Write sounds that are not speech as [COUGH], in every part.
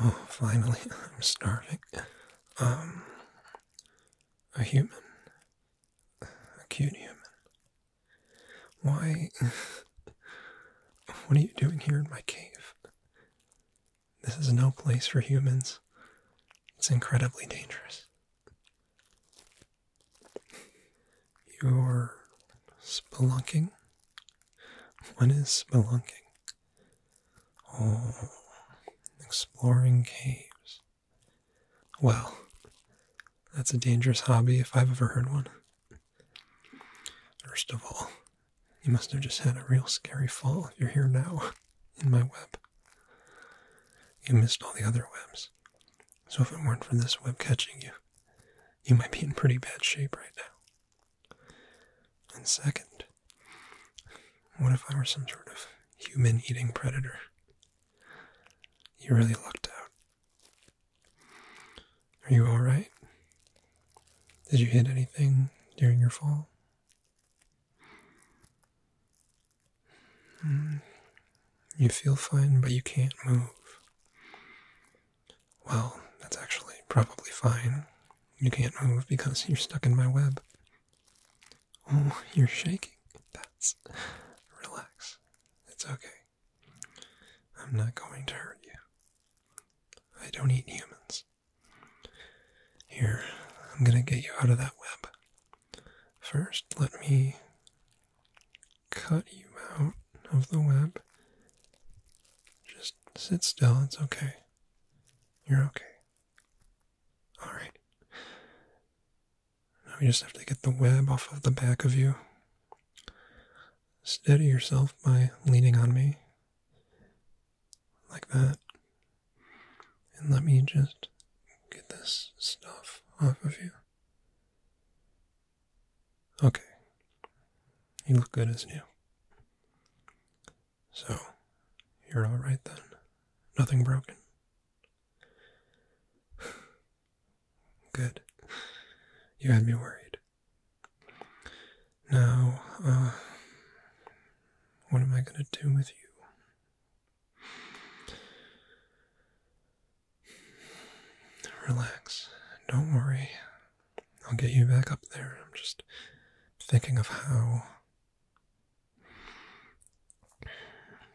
Oh, finally, [LAUGHS] I'm starving. Um, a human. A cute human. Why? [LAUGHS] what are you doing here in my cave? This is no place for humans. It's incredibly dangerous. You're spelunking? What is spelunking? Oh, exploring caves. Well, that's a dangerous hobby if I've ever heard one. First of all, you must have just had a real scary fall you're here now in my web. You missed all the other webs. So if it weren't for this web catching you, you might be in pretty bad shape right now. And second, what if I were some sort of human eating predator? You really lucked out. Are you alright? Did you hit anything during your fall? Hmm. You feel fine, but you can't move. Well, that's actually probably fine. You can't move because you're stuck in my web. Oh, you're shaking. That's. Relax. It's okay. I'm not going to hurt you. I don't eat humans. Here, I'm gonna get you out of that web. First, let me cut you out of the web. Just sit still, it's okay. You're okay. Alright. Now we just have to get the web off of the back of you. Steady yourself by leaning on me. Like that. And let me just get this stuff off of you. Okay. You look good as new. So, you're alright then? Nothing broken? [SIGHS] Good. You had me worried. Now, uh, what am I gonna do with you? Relax. Don't worry. I'll get you back up there. I'm just thinking of how.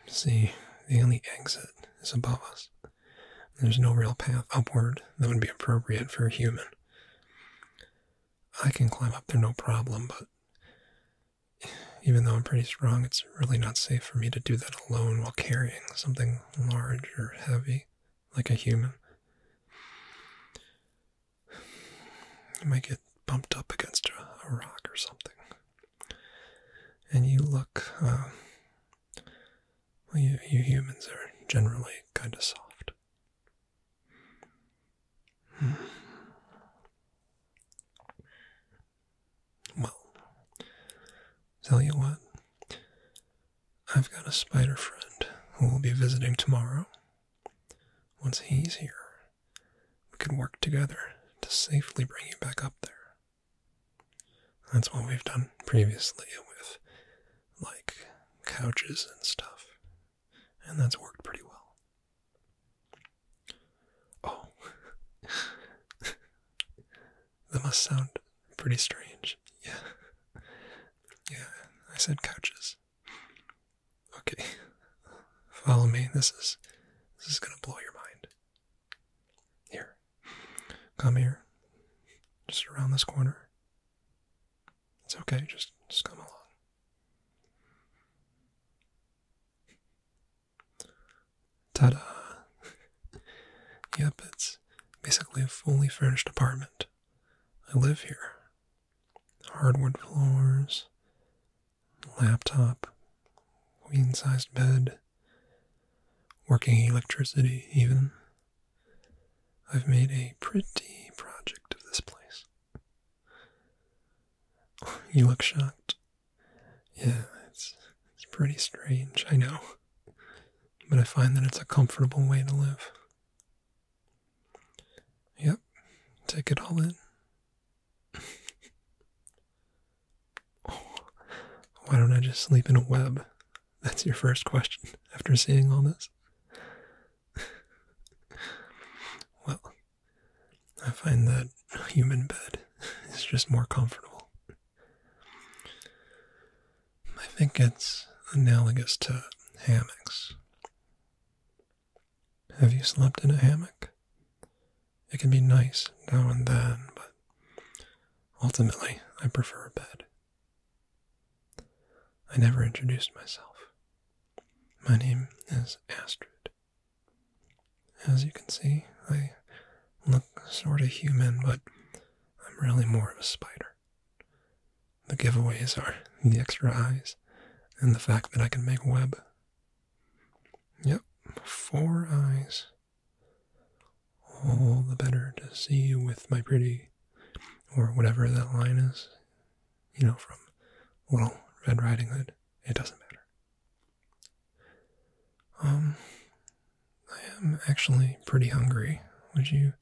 See, the only exit is above us. There's no real path upward that would be appropriate for a human. I can climb up there no problem, but even though I'm pretty strong, it's really not safe for me to do that alone while carrying something large or heavy, like a human. You might get bumped up against a, rock or something. And you look, uh, well, you, humans are generally kind of soft. Hmm. Well, tell you what, I've got a spider friend who will be visiting tomorrow. Once he's here, we can work together to safely bring you back up there. That's what we've done previously with, like, couches and stuff, and that's worked pretty well. Oh. [LAUGHS] that must sound pretty strange. Yeah. Yeah, I said couches. Okay. Follow me. This is this is gonna blow your mind. Here. Come here. Just around this corner. It's okay, just just come along. Ta da! [LAUGHS] yep, it's basically a fully furnished apartment. I live here. Hardwood floors, laptop, queen sized bed, working electricity, even. I've made a pretty project of this place. [LAUGHS] you look shocked. Yeah, it's it's pretty strange, I know. But I find that it's a comfortable way to live. Yep, take it all in. [LAUGHS] why don't I just sleep in a web? That's your first question after seeing all this. [LAUGHS] well, I find that a human bed is just more comfortable. I think it's analogous to hammocks. Have you slept in a hammock? It can be nice now and then, but ultimately I prefer a bed. I never introduced myself. My name is Astrid. As you can see, I look sort of human, but I'm really more of a spider. The giveaways are the extra eyes and the fact that I can make web. Yep, four eyes. All the better to see you with my pretty, or whatever that line is, you know, from Little Red Riding Hood. It doesn't matter. Um, I am actually pretty hungry. Would you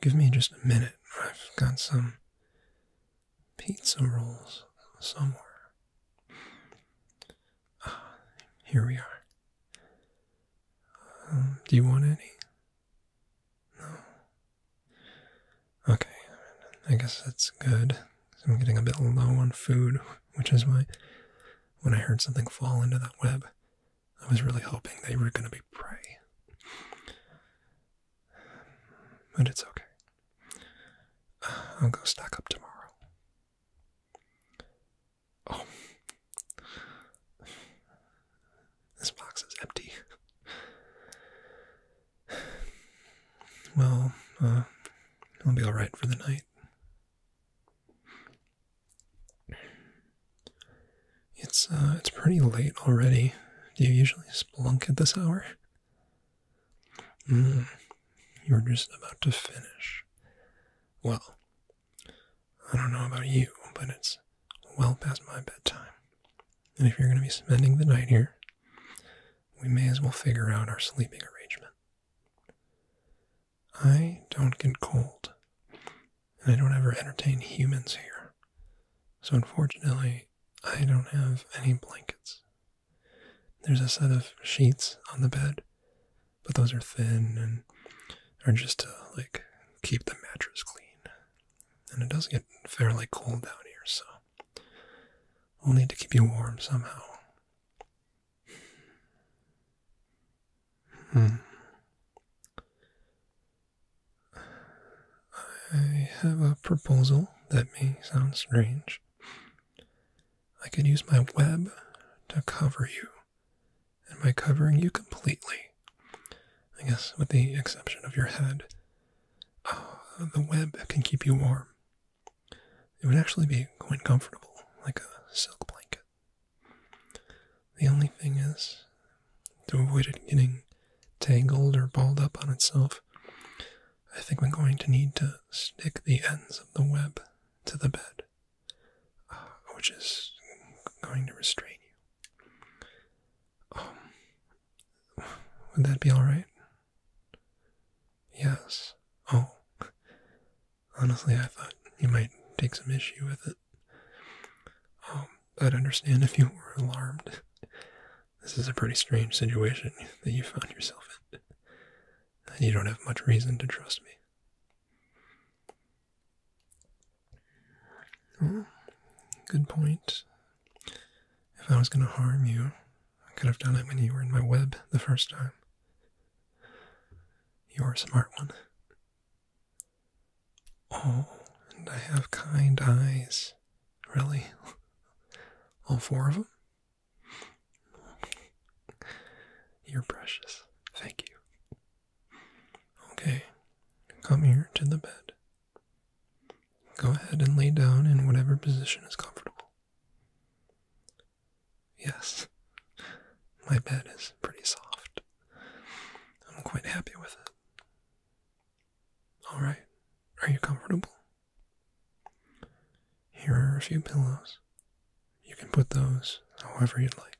give me just a minute? I've got some pizza rolls somewhere. Ah, here we are. Um, do you want any? No. Okay, I guess that's good. I'm getting a bit low on food, [LAUGHS] which is why when I heard something fall into that web. I was really hoping they were going to be prey. But it's okay. I'll go stack up tomorrow. Oh. This box is empty. Well, uh, I'll be alright for the night. It's uh, it's pretty late already. Do you usually splunk at this hour? Hmm. you're just about to finish. Well, I don't know about you, but it's well past my bedtime. And if you're going to be spending the night here, we may as well figure out our sleeping arrangement. I don't get cold, and I don't ever entertain humans here. So, unfortunately, I don't have any blankets. There's a set of sheets on the bed, but those are thin and are just to like keep the mattress clean. And it does get fairly cold down here, so we'll need to keep you warm somehow. Hmm. I have a proposal that may sound strange. I could use my web to cover you, and by covering you completely, I guess with the exception of your head, oh, the web can keep you warm it would actually be quite comfortable, like a silk blanket. The only thing is, to avoid it getting tangled or balled up on itself, I think we're going to need to stick the ends of the web to the bed, uh, which is going to restrain you. Um, would that be alright? Yes. Oh, Honestly, I thought you might take some issue with it. I'd um, understand if you were alarmed. This is a pretty strange situation that you found yourself in, and you don't have much reason to trust me. good point. If I was going to harm you, I could have done it when you were in my web the first time. You're a smart one. Oh, and I have kind eyes. Really? [LAUGHS] All four of them? You're precious. Thank you. Okay, come here to the bed. Go ahead and lay down in whatever position is comfortable. Yes, my bed is pretty soft. I'm quite happy with it. Alright, are you comfortable? Here are a few pillows. You can put those however you'd like.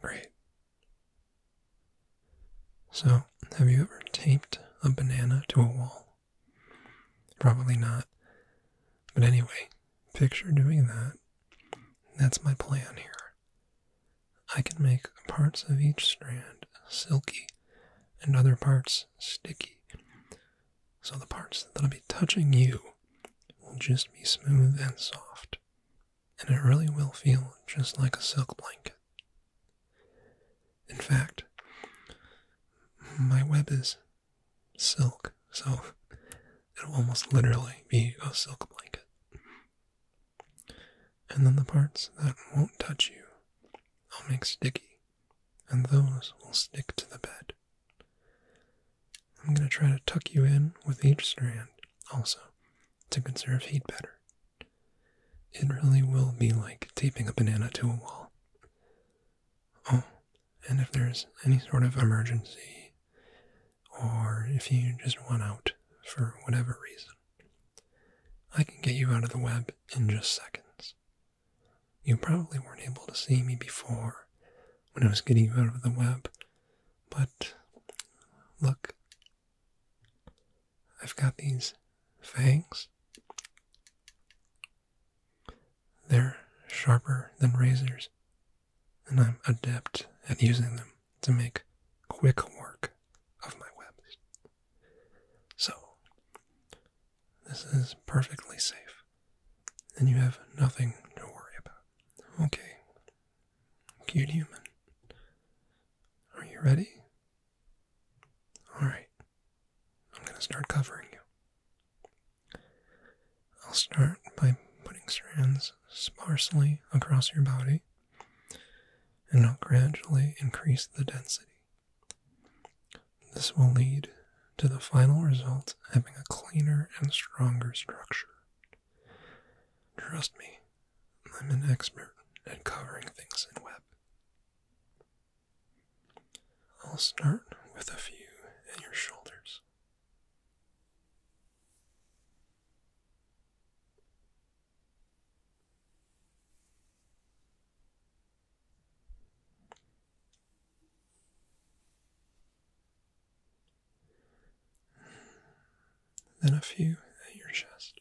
Great. So, have you ever taped a banana to a wall? Probably not. But anyway, picture doing that. That's my plan here. I can make parts of each strand silky and other parts sticky. So the parts that'll be touching you will just be smooth and soft. And it really will feel just like a silk blanket. In fact, my web is silk, so it'll almost literally be a silk blanket. And then the parts that won't touch you, I'll make sticky, and those will stick to the bed. I'm going to try to tuck you in with each strand also to conserve heat better. It really will be like taping a banana to a wall. Oh, and if there's any sort of emergency, or if you just want out for whatever reason, I can get you out of the web in just seconds. You probably weren't able to see me before when I was getting you out of the web, but look, I've got these fangs. They're sharper than razors, and I'm adept at using them to make quick work of my webs. So, this is perfectly safe, and you have nothing to worry about. Okay, cute human, are you ready? Alright, I'm going to start covering you. I'll start by putting strands sparsely across your body, and I'll gradually increase the density. This will lead to the final result having a cleaner and stronger structure. Trust me, I'm an expert at covering things in web. I'll start with a few at your shoulders. Then a few at your chest.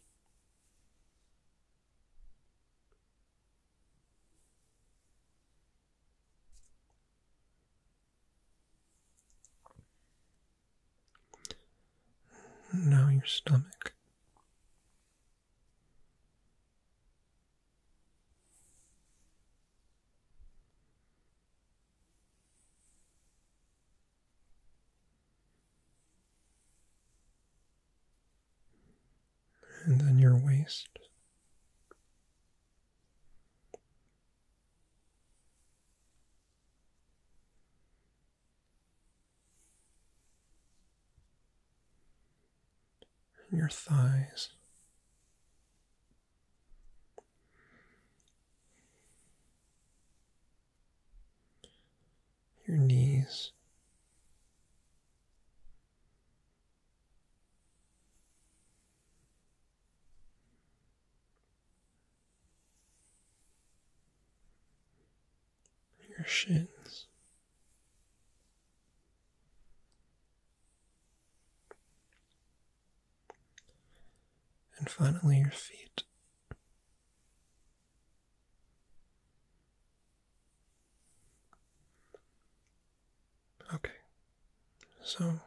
Now your stomach and then your waist. your thighs. Your knees, your shins. And finally, your feet. Okay, so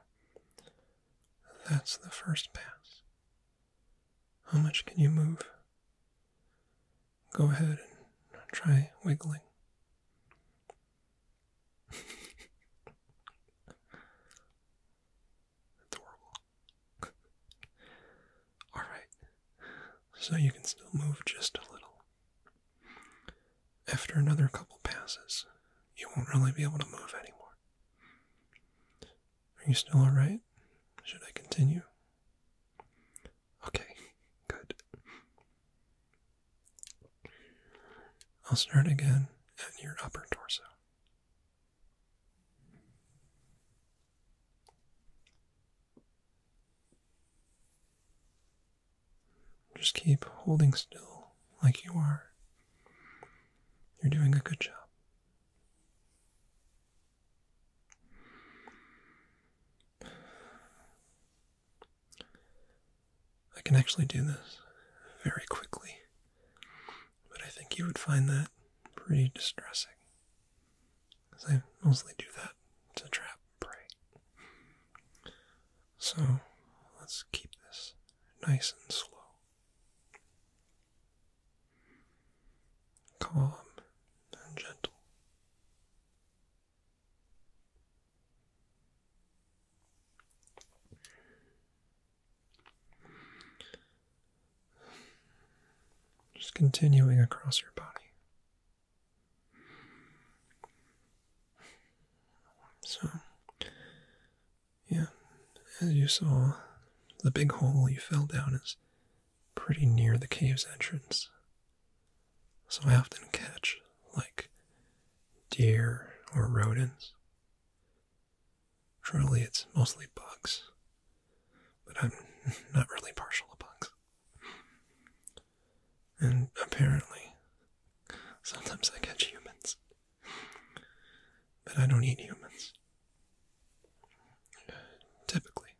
that's the first pass. How much can you move? Go ahead and try wiggling. Adorable. [LAUGHS] [LAUGHS] Alright, so you can still move just a little. After another couple passes, you won't really be able to move anymore. Are you still alright? Should I continue? Okay, good. I'll start again at your upper torso. Just keep holding still like you are. You're doing a good job. I can actually do this very quickly, but I think you would find that pretty distressing. Because I mostly do that to trap prey. So let's keep this nice and slow. Calm and gentle. Just continuing across your body. So, yeah, as you saw, the big hole you fell down is pretty near the cave's entrance. So I often catch, like, deer or rodents. Truly, it's mostly bugs, but I'm [LAUGHS] not really partial to bugs. And apparently, sometimes I catch humans. But I don't eat humans. typically.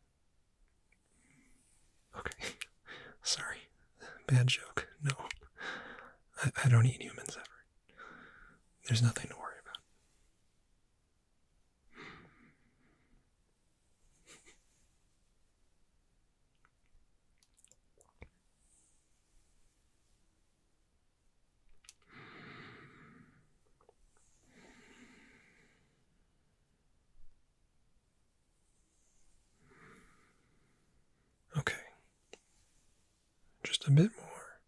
Okay, [LAUGHS] sorry. Bad joke. No. I, I don't eat humans ever. There's nothing to worry about. Okay, just a bit more,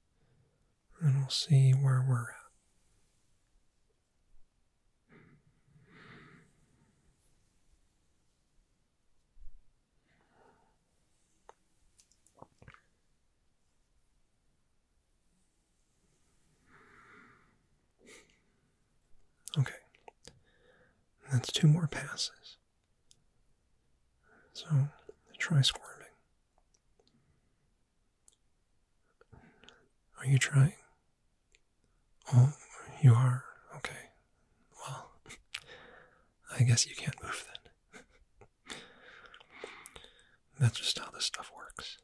and we'll see where we're at. Okay, that's two more passes. So try squirming. Are you trying? Oh, you are? Okay. Well, [LAUGHS] I guess you can't move then. [LAUGHS] That's just how this stuff works.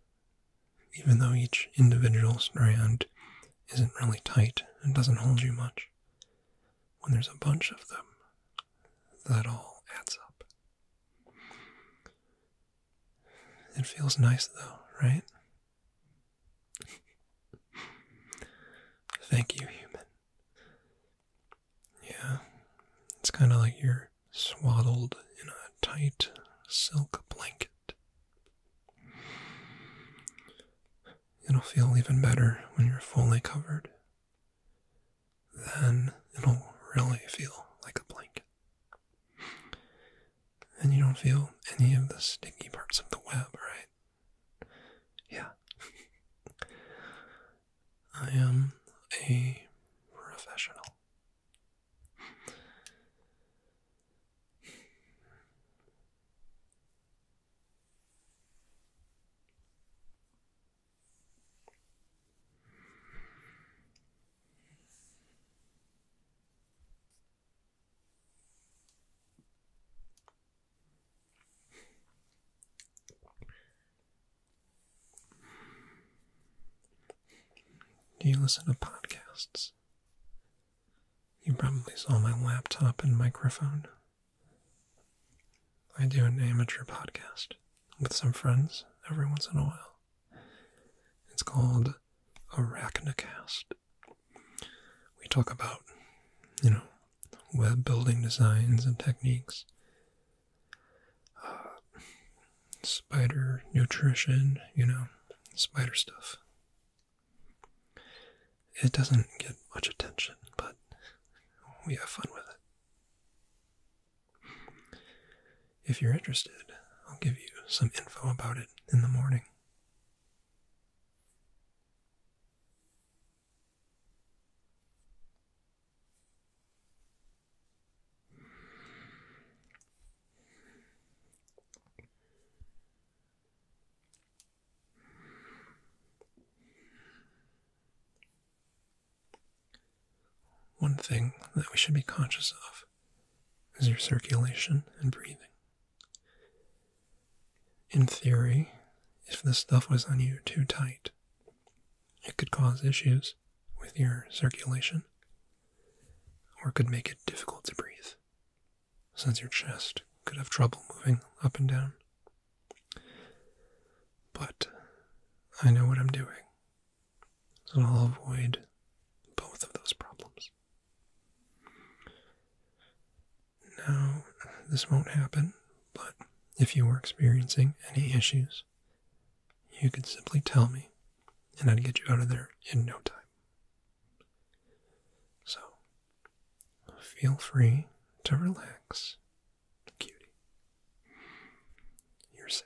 Even though each individual strand isn't really tight and doesn't hold you much, when there's a bunch of them, that all adds up. It feels nice though, right? Thank you, human. Yeah, it's kind of like you're swaddled in a tight silk blanket. It'll feel even better when you're fully covered. Then it'll really feel like a blanket and you don't feel any of the sticky parts of the web, right? Yeah. [LAUGHS] I am a professional. Do you listen to podcasts? You probably saw my laptop and microphone. I do an amateur podcast with some friends every once in a while. It's called Arachnacast. We talk about, you know, web building designs and techniques, uh, spider nutrition, you know, spider stuff. It doesn't get much attention, but we have fun with it. If you're interested, I'll give you some info about it in the morning. One thing that we should be conscious of is your circulation and breathing. In theory, if the stuff was on you too tight, it could cause issues with your circulation or could make it difficult to breathe, since your chest could have trouble moving up and down. But I know what I'm doing, so I'll avoid both of those problems. Now, this won't happen, but if you were experiencing any issues, you could simply tell me, and I'd get you out of there in no time. So, feel free to relax, cutie. You're safe.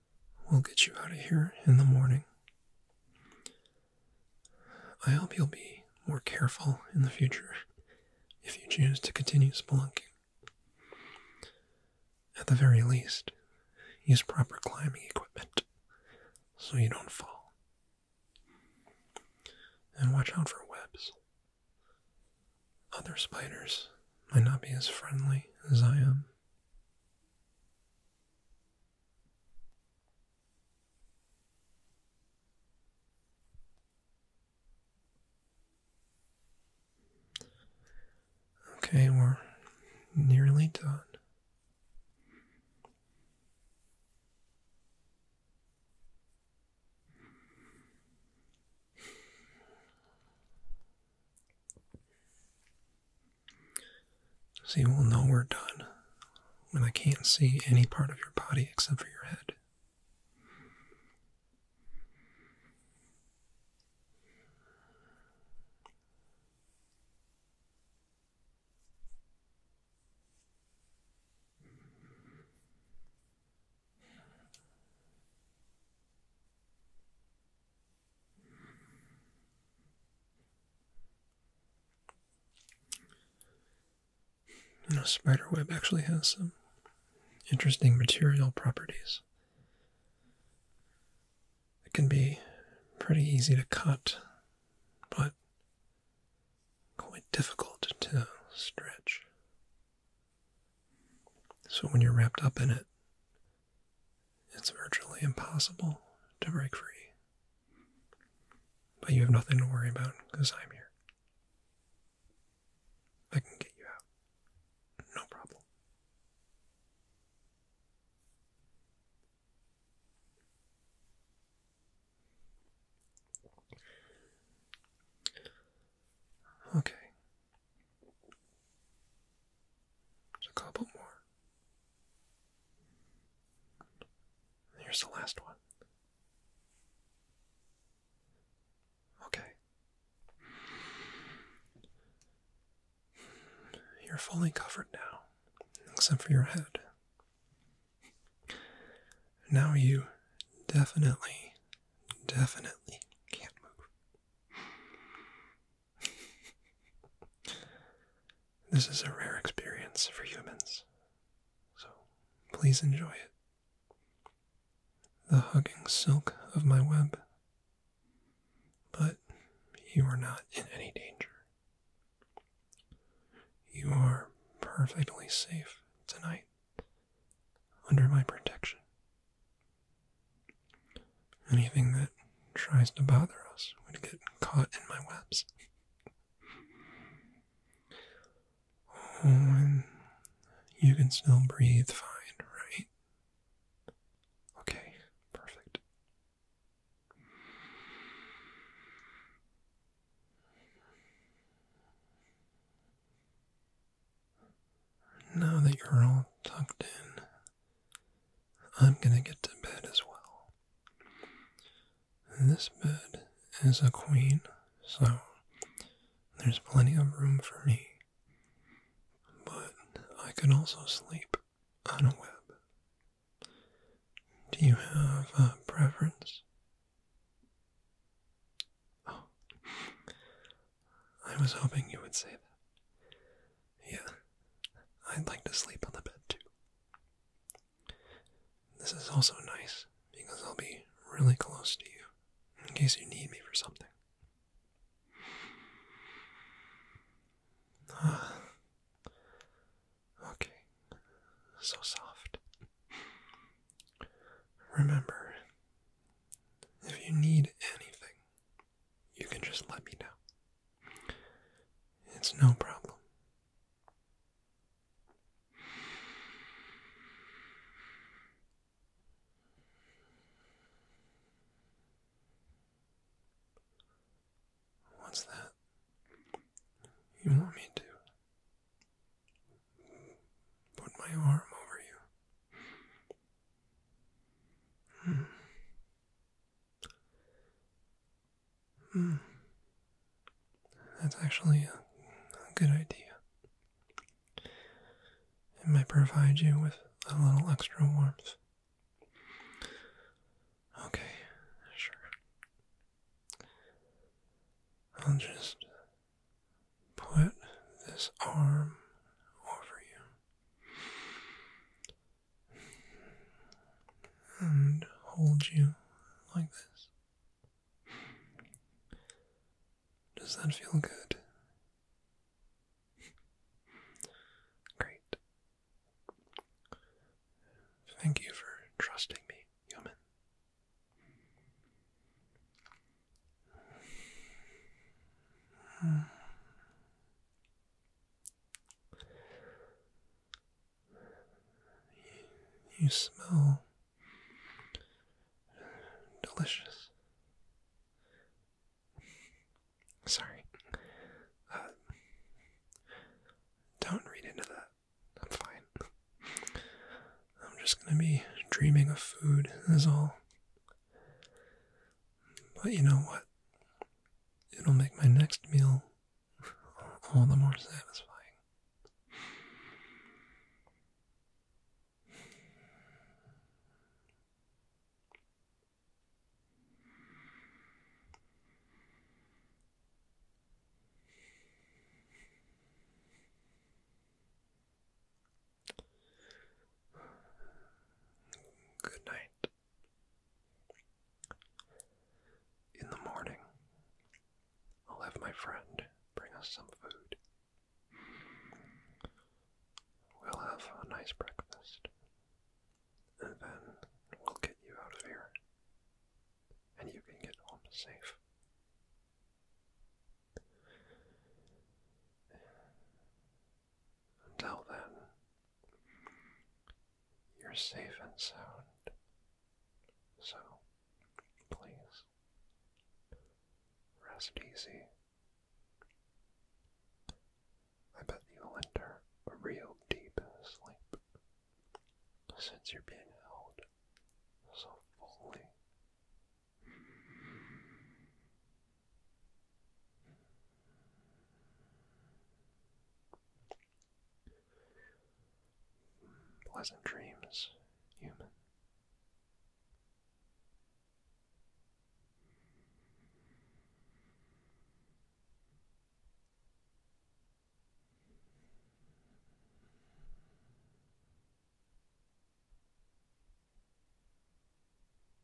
We'll get you out of here in the morning. I hope you'll be more careful in the future if you choose to continue spelunking. At the very least, use proper climbing equipment so you don't fall. And watch out for webs. Other spiders might not be as friendly as I am. Okay, we're nearly done. So you will know we're done when I can't see any part of your body except for your head. You spider web actually has some interesting material properties. It can be pretty easy to cut, but quite difficult to stretch. So when you're wrapped up in it, it's virtually impossible to break free. But you have nothing to worry about because I'm here. I can get you out. No problem. Okay. There's a couple more. here's the last one. Okay. You're fully covered now, except for your head. Now you definitely, definitely can't move this is a rare experience for humans, so please enjoy it. The hugging silk of my web. But you are not in any danger. You are perfectly safe tonight under my protection. Anything that tries to bother us would get caught in my webs. Oh, you can still breathe fine, right? Okay, perfect. Now that you're all tucked in I'm gonna get to bed as well. This bed is a queen, so there's plenty of room for me. But I could also sleep on a web. Do you have a preference? Oh. I was hoping you would say that. Yeah, I'd like to sleep on the bed too. This is also nice because I'll be really close to you in case you need me for something. Ah. Okay, so soft. Remember, if you need anything, you can just let me know. It's no problem. What's that? You want me to put my arm over you? Hmm. Hmm. That's actually a, a good idea. It might provide you with a little extra warmth. Okay, sure. I'll just put this arm over you and hold you like this. Does that feel good? Great. Thank you for trusting me, human. Hmm. You, smell delicious. Sorry. Uh, don't read into that. I'm fine. I'm just gonna be dreaming of food, That's all. But you know what? It'll make my next meal all the more satisfying. Good night. In the morning, I'll have my friend bring us some food. We'll have a nice breakfast, and then we'll get you out of here, and you can get home safe. Until then, you're safe and sound. So, please, rest easy. I bet you'll enter a real deep sleep since you're being held so fully. Pleasant dreams, human.